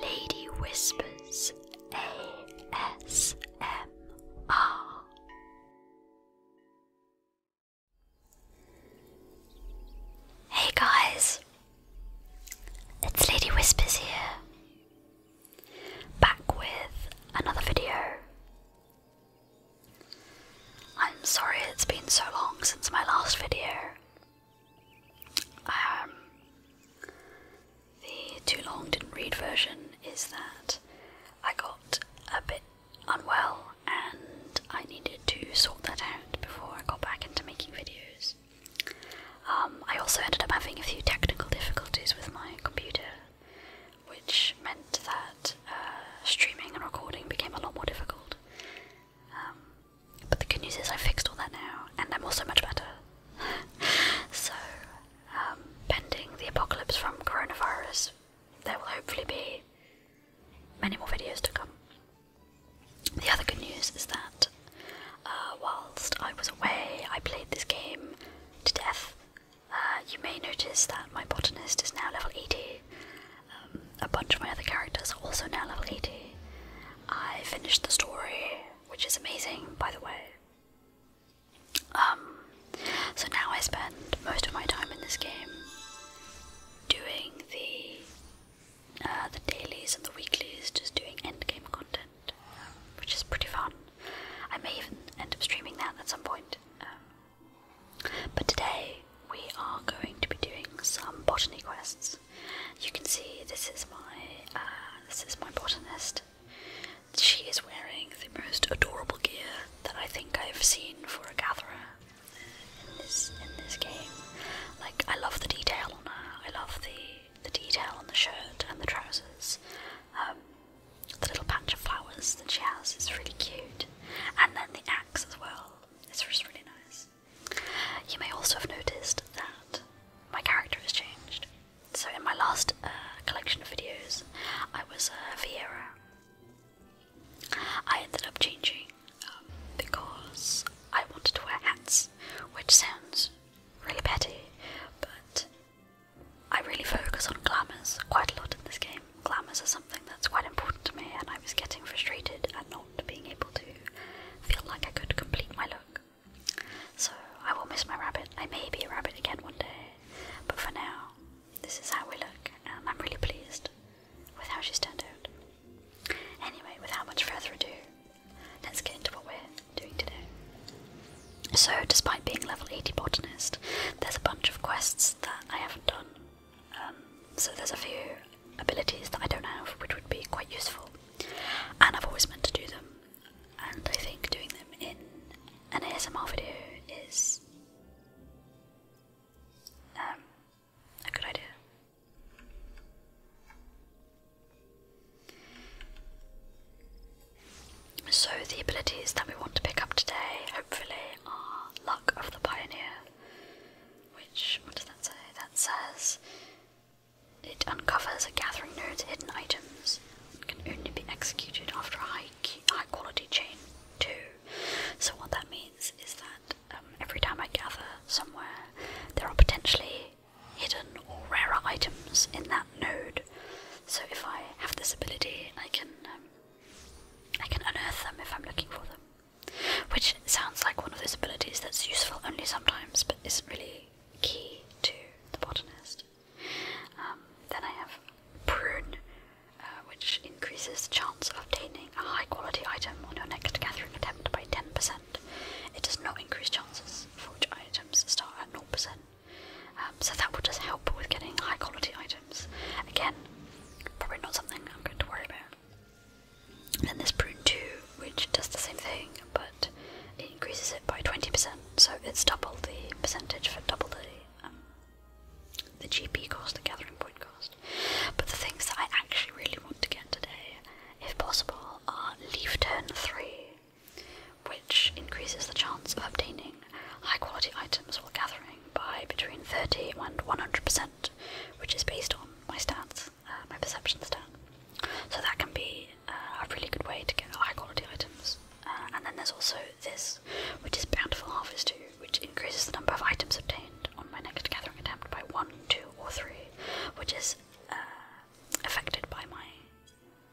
Lady Whispers ASMR Hey guys, it's Lady Whispers here, back with another video. I'm sorry it's been so long since my last video. Um, the too long didn't read version is that I got a bit unwell and I needed to sort that out before I got back into making videos. Um, I also ended up having a few technical difficulties with my computer, which meant that uh, streaming and recording became a lot more difficult, um, but the good news is I fixed all that now, and I'm also much better. so, um, pending the apocalypse from coronavirus, there will hopefully be many more videos to come. The other good news is that uh, whilst I was away, I played this game to death. Uh, you may notice that my botanist is now level 80. Um, a bunch of my other characters are also now level 80. I finished the story, which is amazing, by the way. Um, so now I spend most of my time in this game doing the uh, the dailies and the weeklies, just doing end game content, which is pretty fun. I may even end up streaming that at some point. Um, but today we are going to be doing some botany quests. You can see this is my uh, this is my botanist. She is wearing the most adorable gear that I think I've seen for a gatherer in this in this game. Like I love the detail on her. I love the the detail on the shirt and the trousers. Um, the little patch of flowers that she has is really cute, and then the axe as well. It's just really nice. You may also have noticed that my character has changed. So in my last uh, collection of videos, I was uh, Vieira. I ended up changing um, because I wanted to wear hats, which sounds really petty, but I really focus on glamours quite a lot in this game. Glamours are something that's quite important to me, and I was getting frustrated at not being able to feel like I could complete my look. So I will miss my rabbit. I may be a rabbit again one day, but for now, this is how we look, and I'm really pleased with how she's turned out. Anyway, without much further ado, let's get into what we're doing today. So, despite being level 80 botanist, there's a bunch of quests that I haven't done um, so there's a few abilities that I don't have which would be quite useful, and I've always meant to do them, and I think doing them in an ASMR video is um, a good idea. So, the abilities that we want to pick up today, hopefully, are Luck of the Pioneer, which, what does that say? That says it uncovers a gathering node's hidden items and can only be executed after a high, quality chain, too. So, what that means is that um, every time I gather somewhere, there are potentially hidden or rarer items in that node. So, if I have this ability, I can um, I can unearth them if I'm looking for them. Which sounds like one of those abilities that's useful only sometimes but isn't really key to the botanist. Um, then I have Prune, uh, which increases the chance of obtaining a high quality item on your next gathering attempt by 10%. It does not increase chances for which items start at 0%. Um, so that will just help with getting high quality items. Again, probably not something I'm going to worry about then there's prune 2, which does the same thing, but it increases it by 20%, so it's double the percentage for double the, um, the GP cost, the gathering point cost. But the things that I actually really want to get today, if possible, are leaf turn 3, which increases the chance of obtaining high quality items while gathering by between 30 and 100% which is based on my stats, uh, my perception stat. So that can be uh, a really good way to get high quality items. Uh, and then there's also this, which is Bountiful Harvest 2, which increases the number of items obtained on my next gathering attempt by 1, 2, or 3, which is affected by my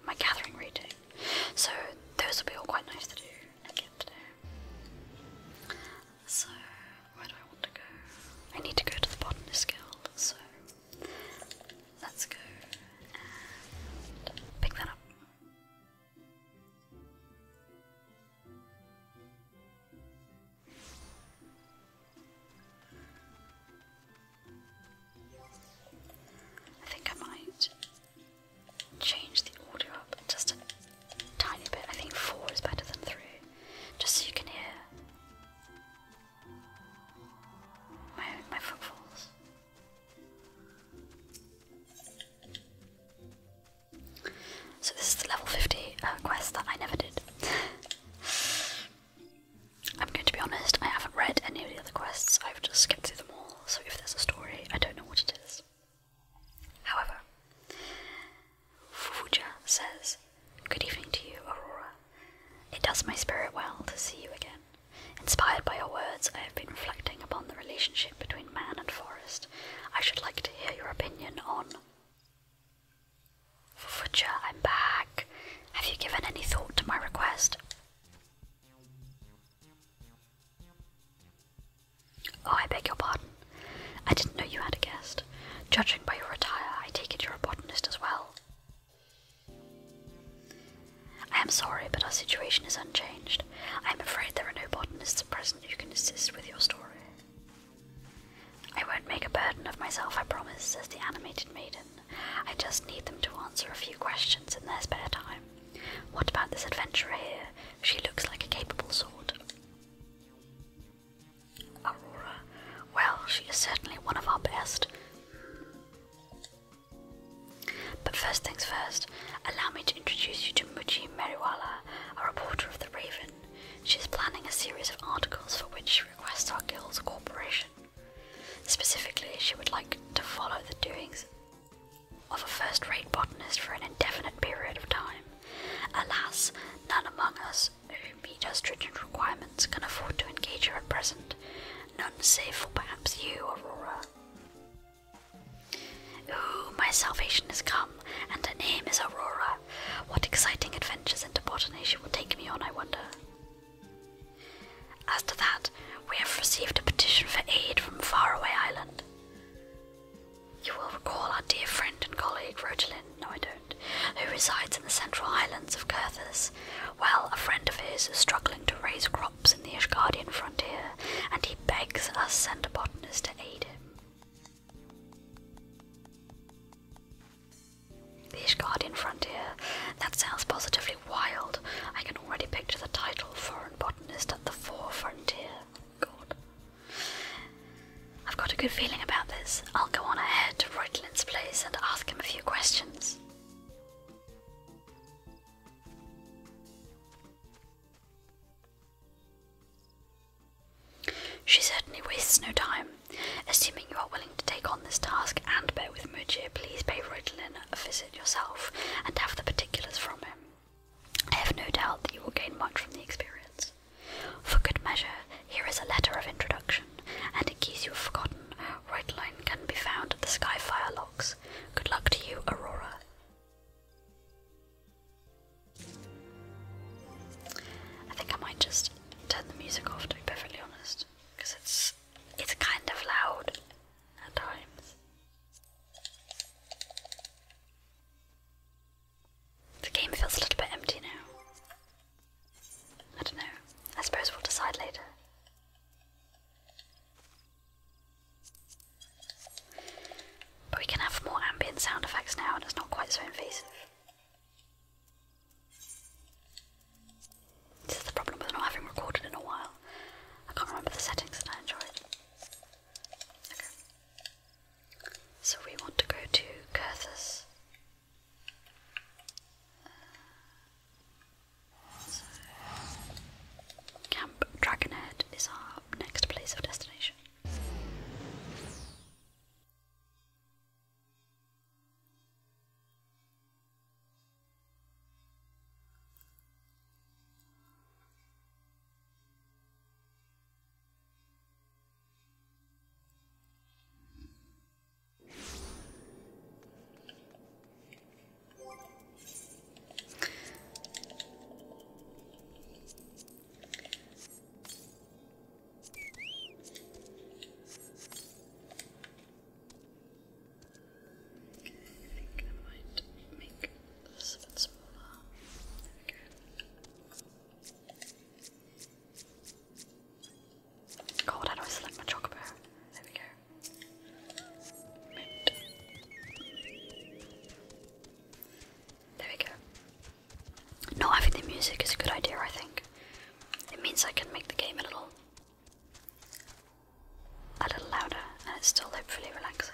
my gathering rating. So those will be all quite nice to do so, where do I want to go? I need to go to the botanist guild, so let's go pick that up. I think I might change the audio up just a tiny bit. I think four is better than three, just so you can hear my my footfalls. So this is the level fifty uh, quest that I never did. I'm going to be honest. I haven't read any of the other quests. I've just skipped through them all. So if there's a story, I don't know what it is. However, Fuja says, Good evening to you, Aurora. It does my spirit well to see you again. Inspired by your words, I have been reflecting upon the relationship between man and forest. I should like to hear your opinion on. Fuja, I'm back. Have you given any thought to my request? Oh, I beg your pardon. I didn't know you had a guest. Judging by your attire, I take it you're a botanist as well. I am sorry, but our situation is unchanged. I am afraid there are no botanists at present who can assist with your story. I won't make a burden of myself, I promise, says the animated maiden. I just need them to answer a few questions in their spare time. What about this adventurer here? She looks like a capable sort. Aurora. Well, she is certainly one of our best. But first things first, allow me to introduce you to Muji Meriwala, a reporter of the Raven. She is planning a series of articles for which she requests our guild's cooperation. Specifically, she would like to follow the doings of a first rate botanist for an indefinite period of time. Alas, none among us who meet our stringent requirements can afford to engage her at present, none save perhaps you, Aurora. Ooh, my salvation has come, and her name is Aurora. What exciting adventures into botany she will take me on, I wonder. As to that, we have received a petition for aid from Faraway Island. You will recall our dear friend and colleague Rogelin, no I don't, who resides in the central islands of Curthus. Well, a friend of his is struggling to raise crops in the Ishgardian frontier, and he begs us send a botanist to aid him. The Ishgardian frontier. That sounds positively wild. I can already picture the title Foreign Botanist at the Fore Frontier. God. I've got a good feeling about this. I'll go on ahead to Reutlin's place and ask him a few questions. She certainly wastes no time. Assuming you are willing to take on this task and bear with Mujir, please pay Reutlin a visit yourself and have the particulars from him. I have no doubt that you will gain much from the experience. For good measure, here is a letter of introduction, and in case you have forgotten, Reuteline can be found at the Skyfire Locks. Good luck to you, Aurora. I think I might just turn the music off, to be perfectly honest, because it's it's kind of loud at times. The game feels a little bit empty now. I don't know. I suppose we'll decide later. But we can have more ambient sound effects now and it's not quite so invasive. This is the problem with not having recorded in a while. I can't remember the settings that I enjoyed. Okay. So we want to go to Curthus. Camp Dragonhead is our next place of destination. I think I might make this a bit smaller. There we go. God, how do I select my chocolate? There we go. There we go. No, I think the music is a good idea, I think. It means I can make the game a little a little louder and it's still hopefully relaxing.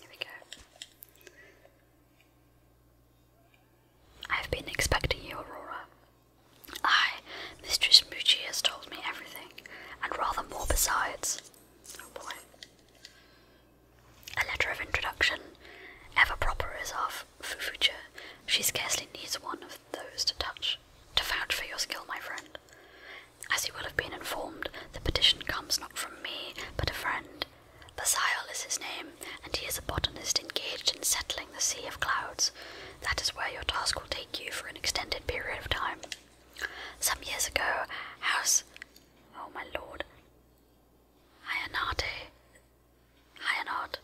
Here we go. I've been expecting you, Aurora. I, Mistress Moochie has told me everything, and rather more besides. Oh boy. A letter of introduction, ever proper is of Fu Fufucha. She scarcely needs one of those to touch, to vouch for your skill, my friend. As you will have been informed, the petition comes not from me, but a friend, Basile is his name, and he is a botanist engaged in settling the sea of clouds. That is where your task will take you for an extended period of time. Some years ago, House. Oh my lord. Hyanate. Hyanot.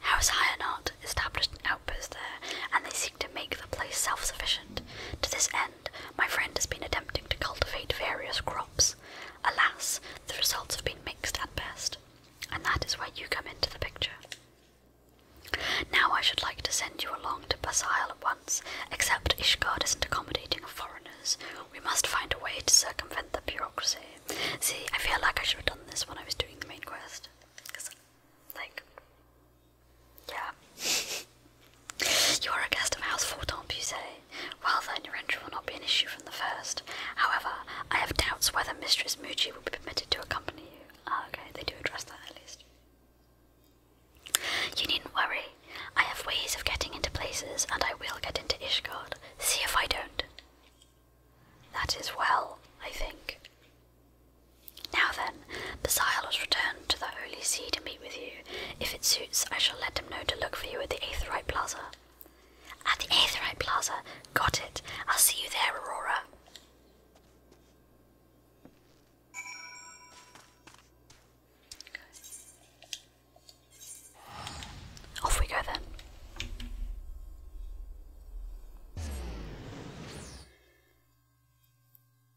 House Hyanot established an outpost there, and they seek to make the place self sufficient. To this end my friend has been attempting to cultivate various crops. Alas, the results have been mixed at best, and that is where you come into the picture. Now I should like to send you along to Basile at once, except Ishgard isn't accommodating foreigners. We must find a way to circumvent the bureaucracy. See, I feel like I should have done this when I was doing the main quest. like, yeah. You are a guest of house for Tom Well then, your entry will not be an issue from the first. However, I have doubts whether Mistress Muji will be permitted to accompany you. Ah, okay, they do address that at least. You needn't worry. I have ways of getting into places, and I will get into Ishgard. See if I don't. That is well, I think. Now then, Basil was returned to the Holy See to meet with you. If it suits, I shall let them know to look for you at the Aetheright Plaza. At the Aetheright Plaza. Got it. I'll see you there, Aurora. Off we go then.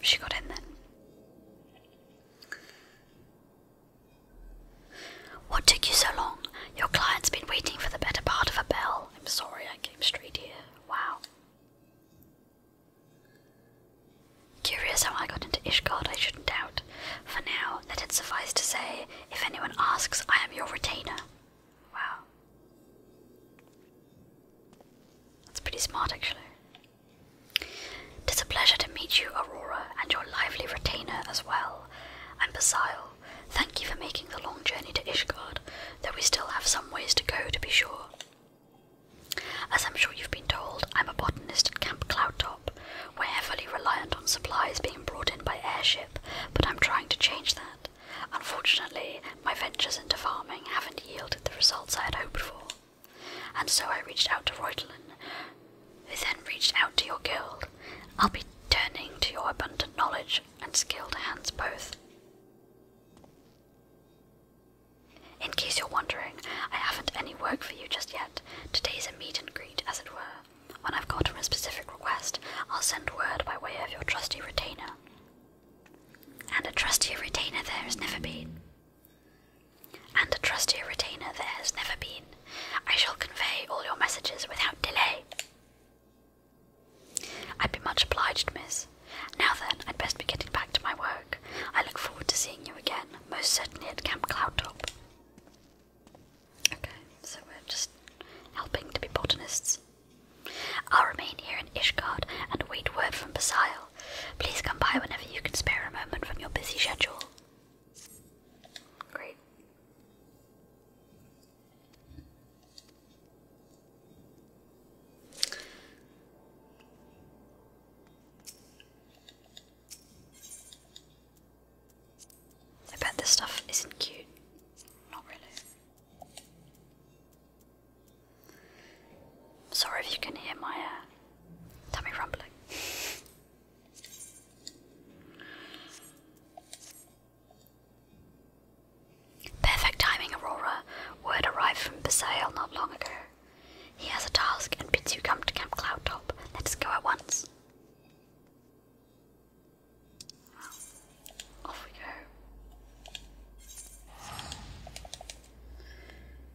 she got in then. What took you so long? Your client's been waiting for the better part of a bell. I'm sorry I came straight here. Wow. Curious how I got into Ishgard, I shouldn't doubt. For now, let it suffice to say, if anyone asks, I am your retainer. Wow. That's pretty smart, actually. 'Tis a pleasure to meet you, Aurora, and your lively retainer as well. And Basile, thank you for making the long journey to Ishgard, though we still have some ways to go, to be sure. As I'm sure you've been told, I'm a botanist at Camp Cloudtop. We're heavily reliant on supplies being brought in by airship, but I'm trying to change that. Unfortunately, my ventures into farming haven't yielded the results I had hoped for. And so I reached out to Reutelin, who then reached out to your guild. I'll be turning to your abundant knowledge and skilled hands both. In case you're wondering, I haven't any work for you just yet. Today's a meet and greet, as it were. When I've gotten a specific request, I'll send word by way of your trusty retainer. And a trustier retainer there has never been. And a trustier retainer there has never been. I shall convey all your messages without delay. I'd be much obliged, miss. Now then, I'd best be getting back to my work. I look forward to seeing you again, most certainly at Camp Cloudtop. Okay, so we're just helping to be botanists. I'll remain here in Ishgard and await word from Basile. Please come by whenever you can spare a moment from your busy schedule. Great. I bet this stuff isn't cute. Not really. Sorry if you can hear my uh, tummy rumbling. Perfect timing, Aurora. Word arrived from Besail not long ago. He has a task and bids you come to Camp Cloud Top. Let us go at once. off we go.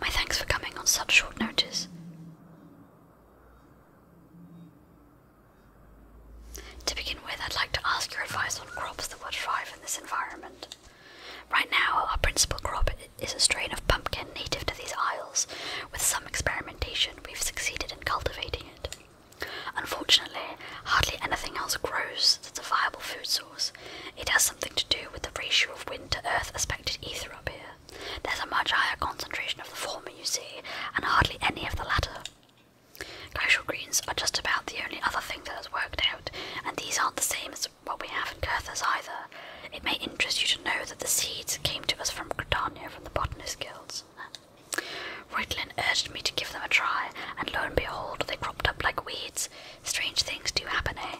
My thanks for coming on such short notice. To begin with, I'd like to ask your advice on crops that would thrive in this environment. Right now, our principal crop is a strain of pumpkin native to these isles, with some experimentation vegetation, we've succeeded in cultivating it. Unfortunately, hardly anything else grows that's a viable food source. It has something to do with the ratio of wind to earth aspected ether up here. There's a much higher concentration of the former, you see, and hardly any of the latter. Glacial greens are just about the only other thing that has worked out, and these aren't the same as what we have in Curthas either. It may interest you to know that the seeds came to us from Catania from the botanist guilds. Ritlin urged me to give them a try, and lo and behold, they cropped up like weeds. Strange things do happen, eh?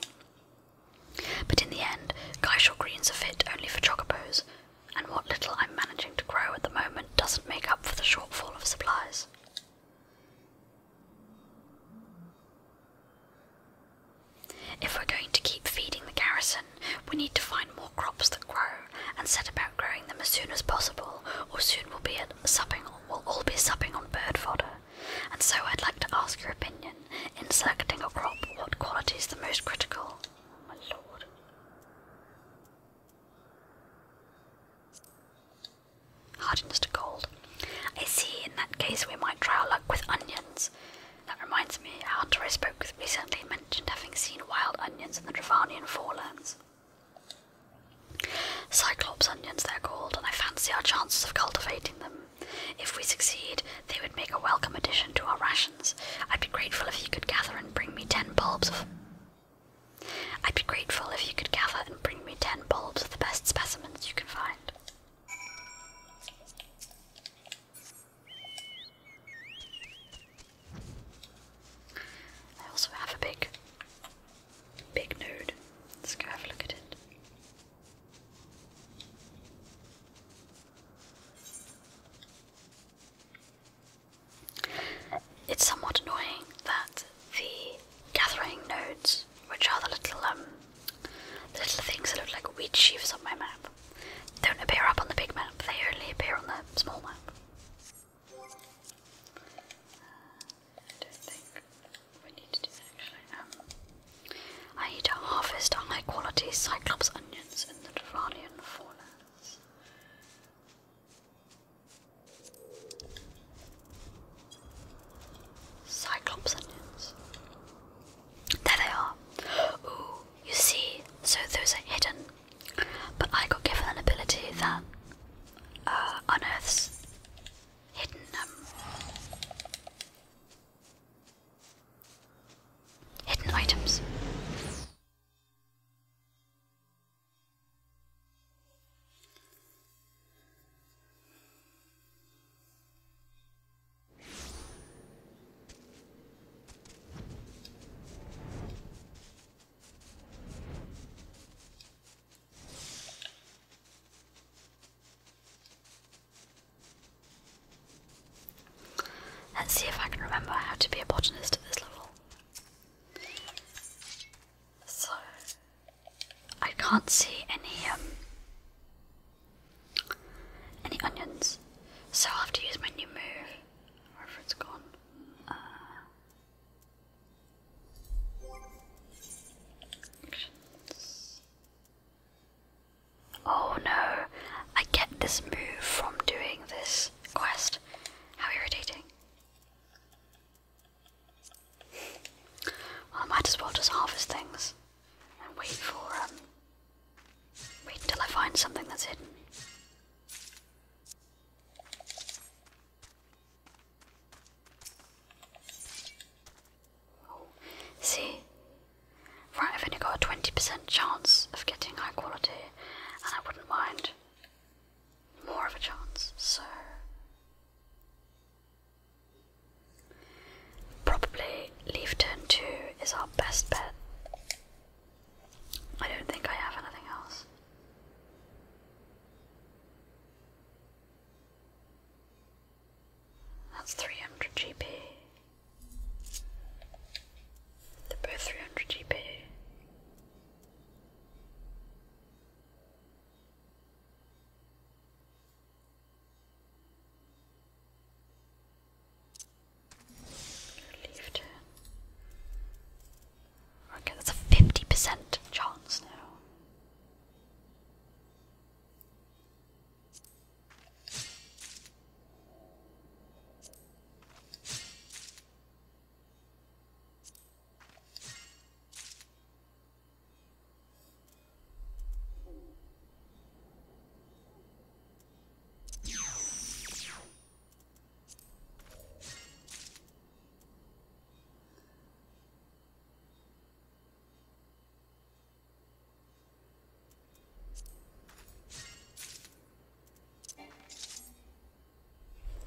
But in the end, Geishal greens are fit only for chocobos, and what little I'm managing to grow at the moment doesn't make up for the shortfall of supplies. If we're going to keep feeding the garrison, we need to find more crops that grow and set about growing them as soon as possible, or soon we'll be supping we'll all be supping on bird fodder. And so I'd like to ask your opinion in selecting a crop, what quality is the most critical? Oh, my lord. Hardiness to cold. I see, in that case we might try our luck with onions. That reminds me, our tourist book recently mentioned having seen wild onions in the Dravanian forelands. Cyclops onions, they're called, and I fancy our chances of cultivating them. If we succeed, they would make a welcome addition to our rations. I'd be grateful if you could gather and bring me ten bulbs of. I'd be grateful if you could gather and bring me ten bulbs of the best specimens you can find. I also have a big, big node. Let's go have a look at it. It's somewhat annoying that the gathering nodes, which are the little um, the little things that look like wheat sheaves on my map, don't appear up on the big map, they only appear on the small map. Uh, um, I need to harvest high quality Cyclops onions in the Duralian Forelands. Cyclops onions. There they are. Ooh, you see, so those are hidden. But I got given an ability that uh, unearths hidden um, hidden items. Let's see if I can remember how to be a botanist at this level. So, I can't see any um, any onions? So I'll have to use my new move. Wherever it's gone. Uh, oh no! I get this move from doing this quest. How irritating. I might as well just harvest things and wait for um, Wait till I find something that's hidden. Oh, see? Right, I've only got a 20% chance of getting high quality, and I wouldn't mind more of a chance, so. Probably leaf turn 2 is our best bet. I don't think I have anything else. That's 300 GP. They're both 300 GP. Relief turn. Okay, that's a 50% chance now.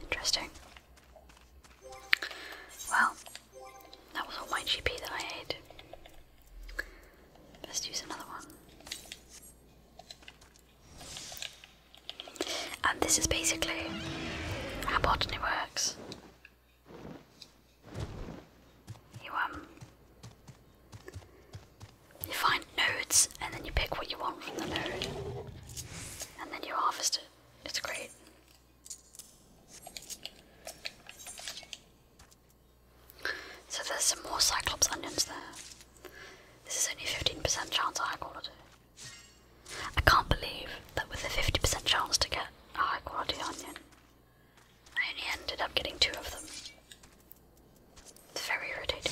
Interesting. Well, that was all my GP that I ate. Let's use another one. And this is basically how botany works. You um you find nodes and then you pick what you want from the node. And then you harvest it. It's great. So there's some more Cyclops onions there. This is only 15% chance of high quality. I can't believe that with a 50% chance to get a high quality onion, I only ended up getting two of them. It's very irritating.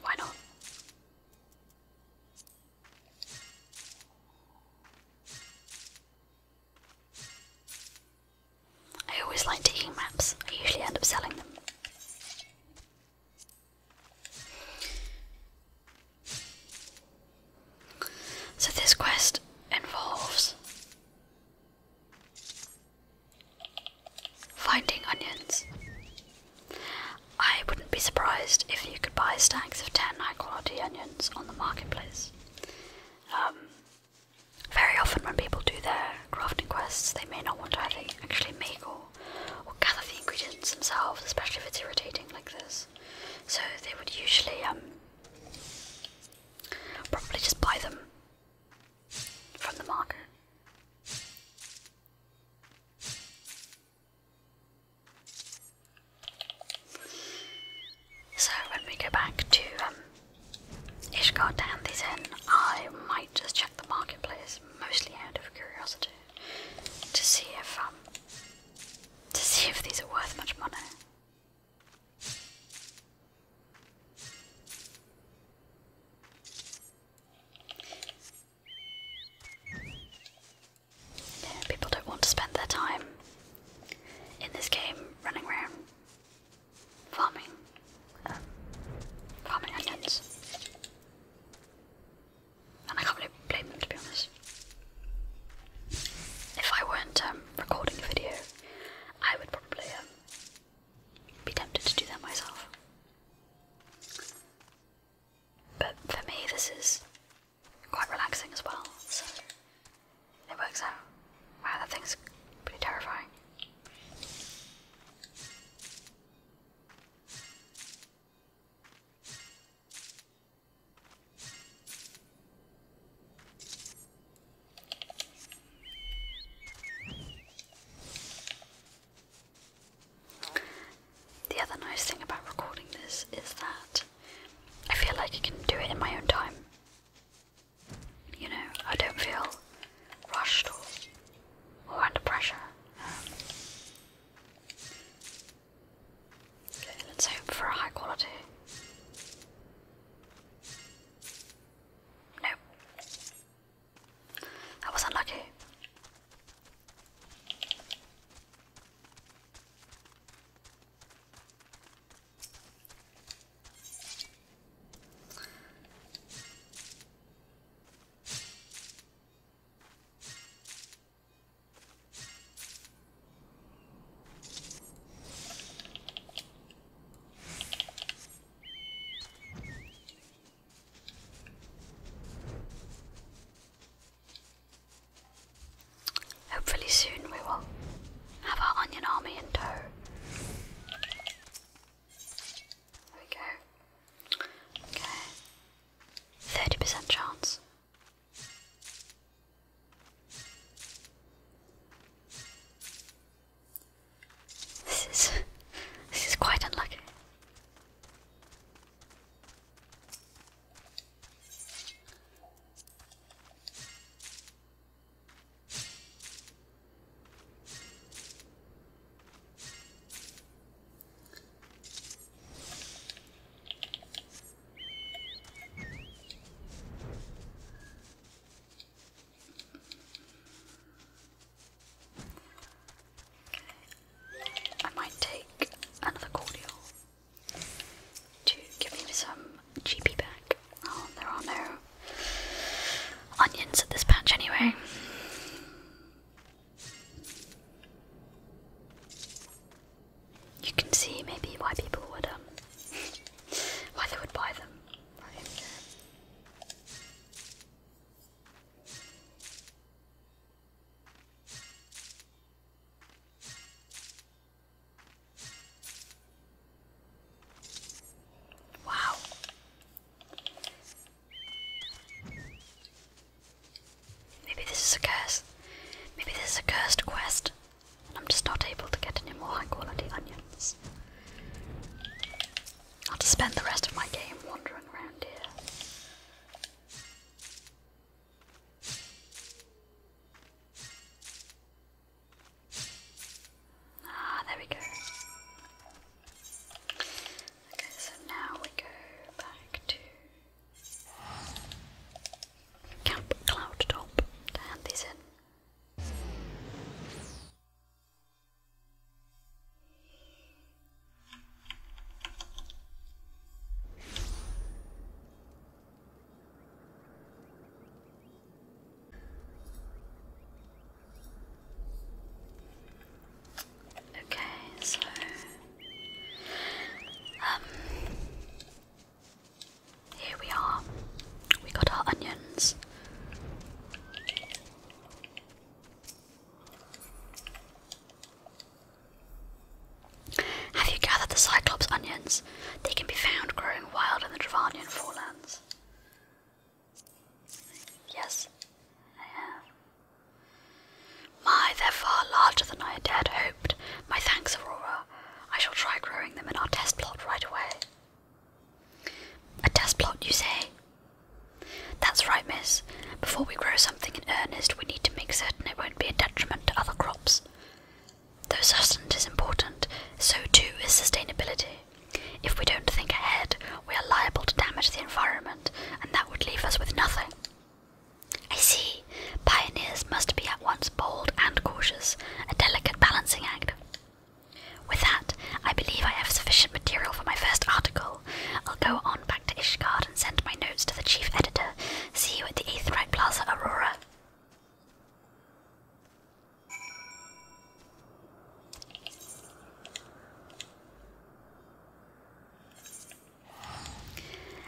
Why not? I always like taking maps, I usually end up selling them. So, this quest involves Finding onions. I wouldn't be surprised if you could buy stacks of 10 high quality onions on the marketplace. Um, very often, when people do their crafting quests, they may not want to actually make or, gather the ingredients themselves, especially if it's irritating like this. So, they would usually um, probably just buy them from the market. So when we go back to um, Ishgard to hand these in, I might just check the marketplace, mostly out of curiosity, to see if um, to see if these are worth much money people don't want to spend their time in this game running around farming, um, farming onions. And I can't really blame them to be honest. If I weren't um, recording a video, I would probably um, be tempted to do that myself. But for me, this is quite relaxing as well, so it works out. Wow, that thing's pretty terrifying. The other nice thing about recording this is that I feel like I can do it in my own time. You know, I don't feel rushed or, under pressure. Um, let's hope for a high quality. Nope. That was unlucky. Hopefully, soon we will have our onion army in tow. There we go. Okay. 30% chance. This is this is quite unlucky. I might take another cordial to give me some GP back. Oh, there are no onions at this patch anyway. You can see maybe why people would um why they would buy them. Wow. Maybe this is a curse. Maybe this is a cursed quest. And I'm just not able to get any more high quality onions this. I'll just spend the rest of my game wandering around here. Ah, there we go. Okay, so now we go back to Camp Cloud Top to hand Okay, so um here we are. We got our onions. Have you gathered the Cyclops onions? They can be found growing wild in the Travanian forelands. Yes, I have. My, they're far larger than I had dared hoped. My thanks, Aurora. I shall try growing them in our test plot right away. A test plot, you say? That's right, miss. Before we grow something in earnest, we need to make certain it won't be a detriment to other crops. Though sustenance is important, so too is sustainability. If we don't think ahead, we are liable to damage the environment, and that would leave us with nothing. I see. Pioneers must be at once bold and cautious, a delicate balancing act. With that, I believe I have sufficient material for my first article. I'll go on back to Ishgard and send my notes to the chief editor. See you at the Eighth Aetheright Plaza Aurora.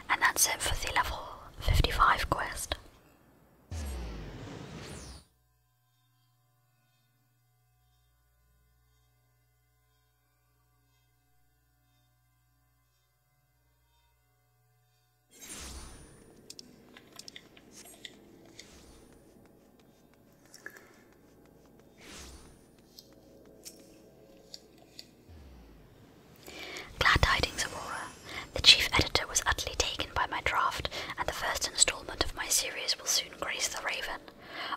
And that's it for the level 55 quest. Glad tidings, Aurora. The chief editor was utterly taken by my draft, and the first instalment of my series will soon grace the Raven.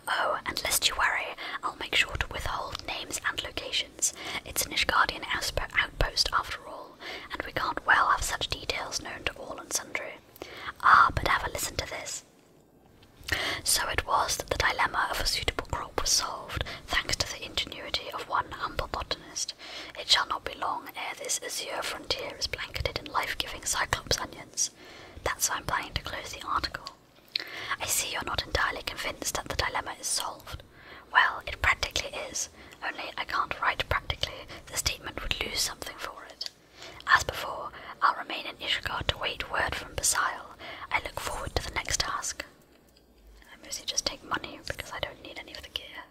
Oh, and lest you worry, I'll make sure to withhold names and locations. It's an Ishgardian outpost after all, and we can't well have such details known to all and sundry. Ah, but have a listen to this. So it was that the dilemma of a suitable crop was solved, thanks to the ingenuity of one humble bot. It shall not be long ere this azure frontier is blanketed in life giving cyclops onions. That's why I'm planning to close the article. I see you're not entirely convinced that the dilemma is solved. Well, it practically is, only I can't write practically, the statement would lose something for it. As before, I'll remain in Ishgard to wait word from Basile. I look forward to the next task. I mostly just take money because I don't need any of the gear.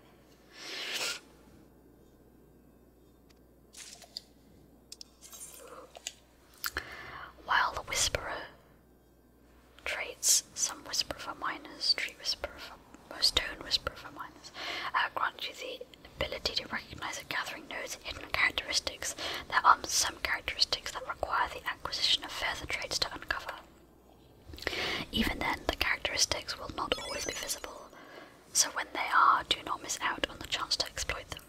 While the Whisperer traits, some Whisper for minors, Tree Whisper for most Stone Whisper for minors, uh, grant you the ability to recognize a gathering node's hidden characteristics. There are some characteristics that require the acquisition of further traits to uncover. Even then, the characteristics will not always be visible, so when they are, do not miss out on the chance to exploit them.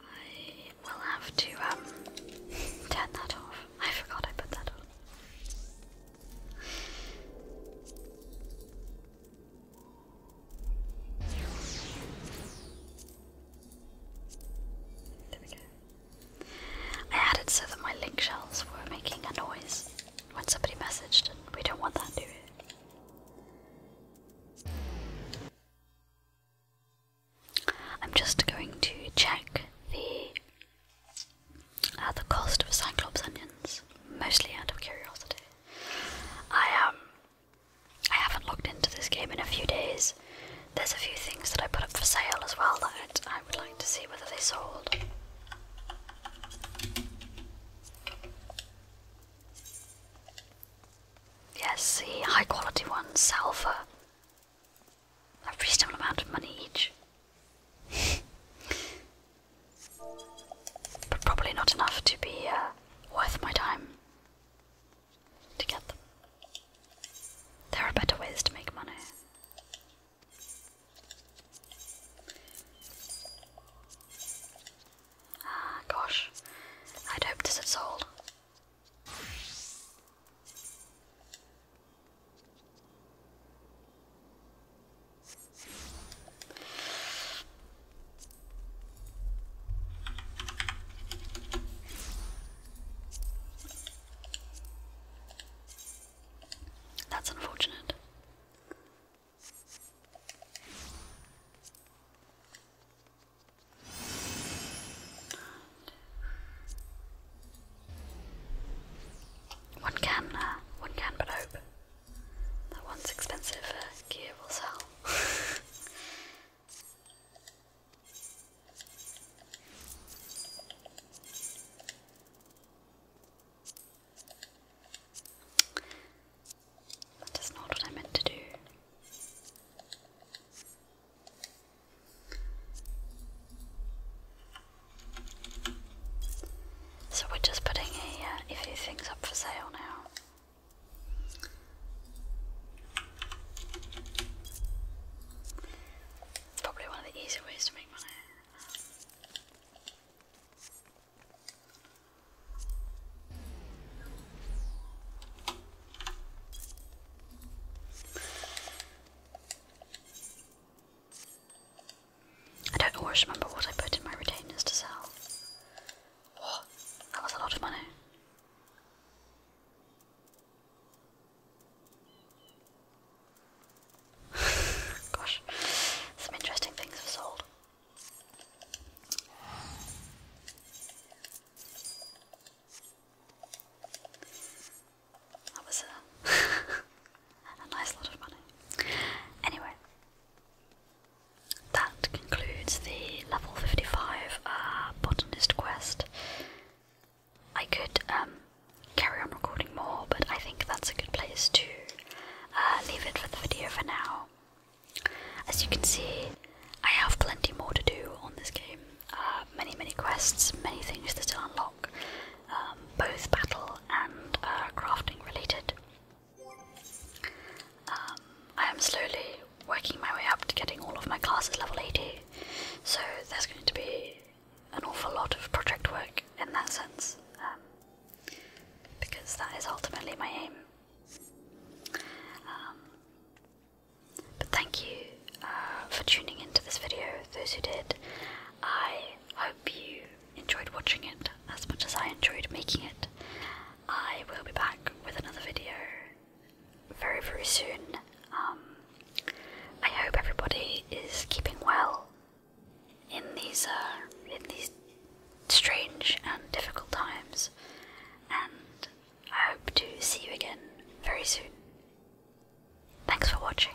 I will have to um, turn that off. I forgot I put that on. I had so that my link shells were making a noise when somebody messaged, and we don't want that, do I'm just going to check the at uh, the cost of Cyclops onions, mostly out of curiosity. I um I haven't looked into this game in a few days. There's a few things that I put up for sale as well that I would like to see whether they sold. Yes, see, high quality ones sell for a reasonable amount of money each. But probably not enough to be uh, worth my time to get them. There are better ways to make money. Ah, gosh. I'd hoped this had sold. That's unfortunate. One can, uh, one can but hope. That one's expensive uh, gear will sell. that is not what I meant to do. So we're just putting uh, a, few things up for sale now. It's probably one of the easier ways to make money. I don't always remember what I put in my retainers to sell. What? That was a lot of money. Gosh, some interesting things have sold. That was uh, a a nice lot of money. Anyway, that concludes the level 55 uh, botanist quest. I could um, carry on recording more, but I think that's a good place to uh, leave it for the video for now. As you can see, I have plenty more to do on this game. Uh, many, many quests, many things to unlock, um, both battle and crafting related. Um, I am slowly working my way up to getting all of my classes level 80, so there's going to be an awful lot of project work in that sense, um, because that is ultimately my aim. Um, but thank you uh, for tuning into this video, those who did. I hope you enjoyed watching it as much as I enjoyed making it. I will be back with another video very, very soon. Um, I hope everybody is keeping well in these uh, in these strange and difficult times, and I hope to see you again very soon. Thanks for watching.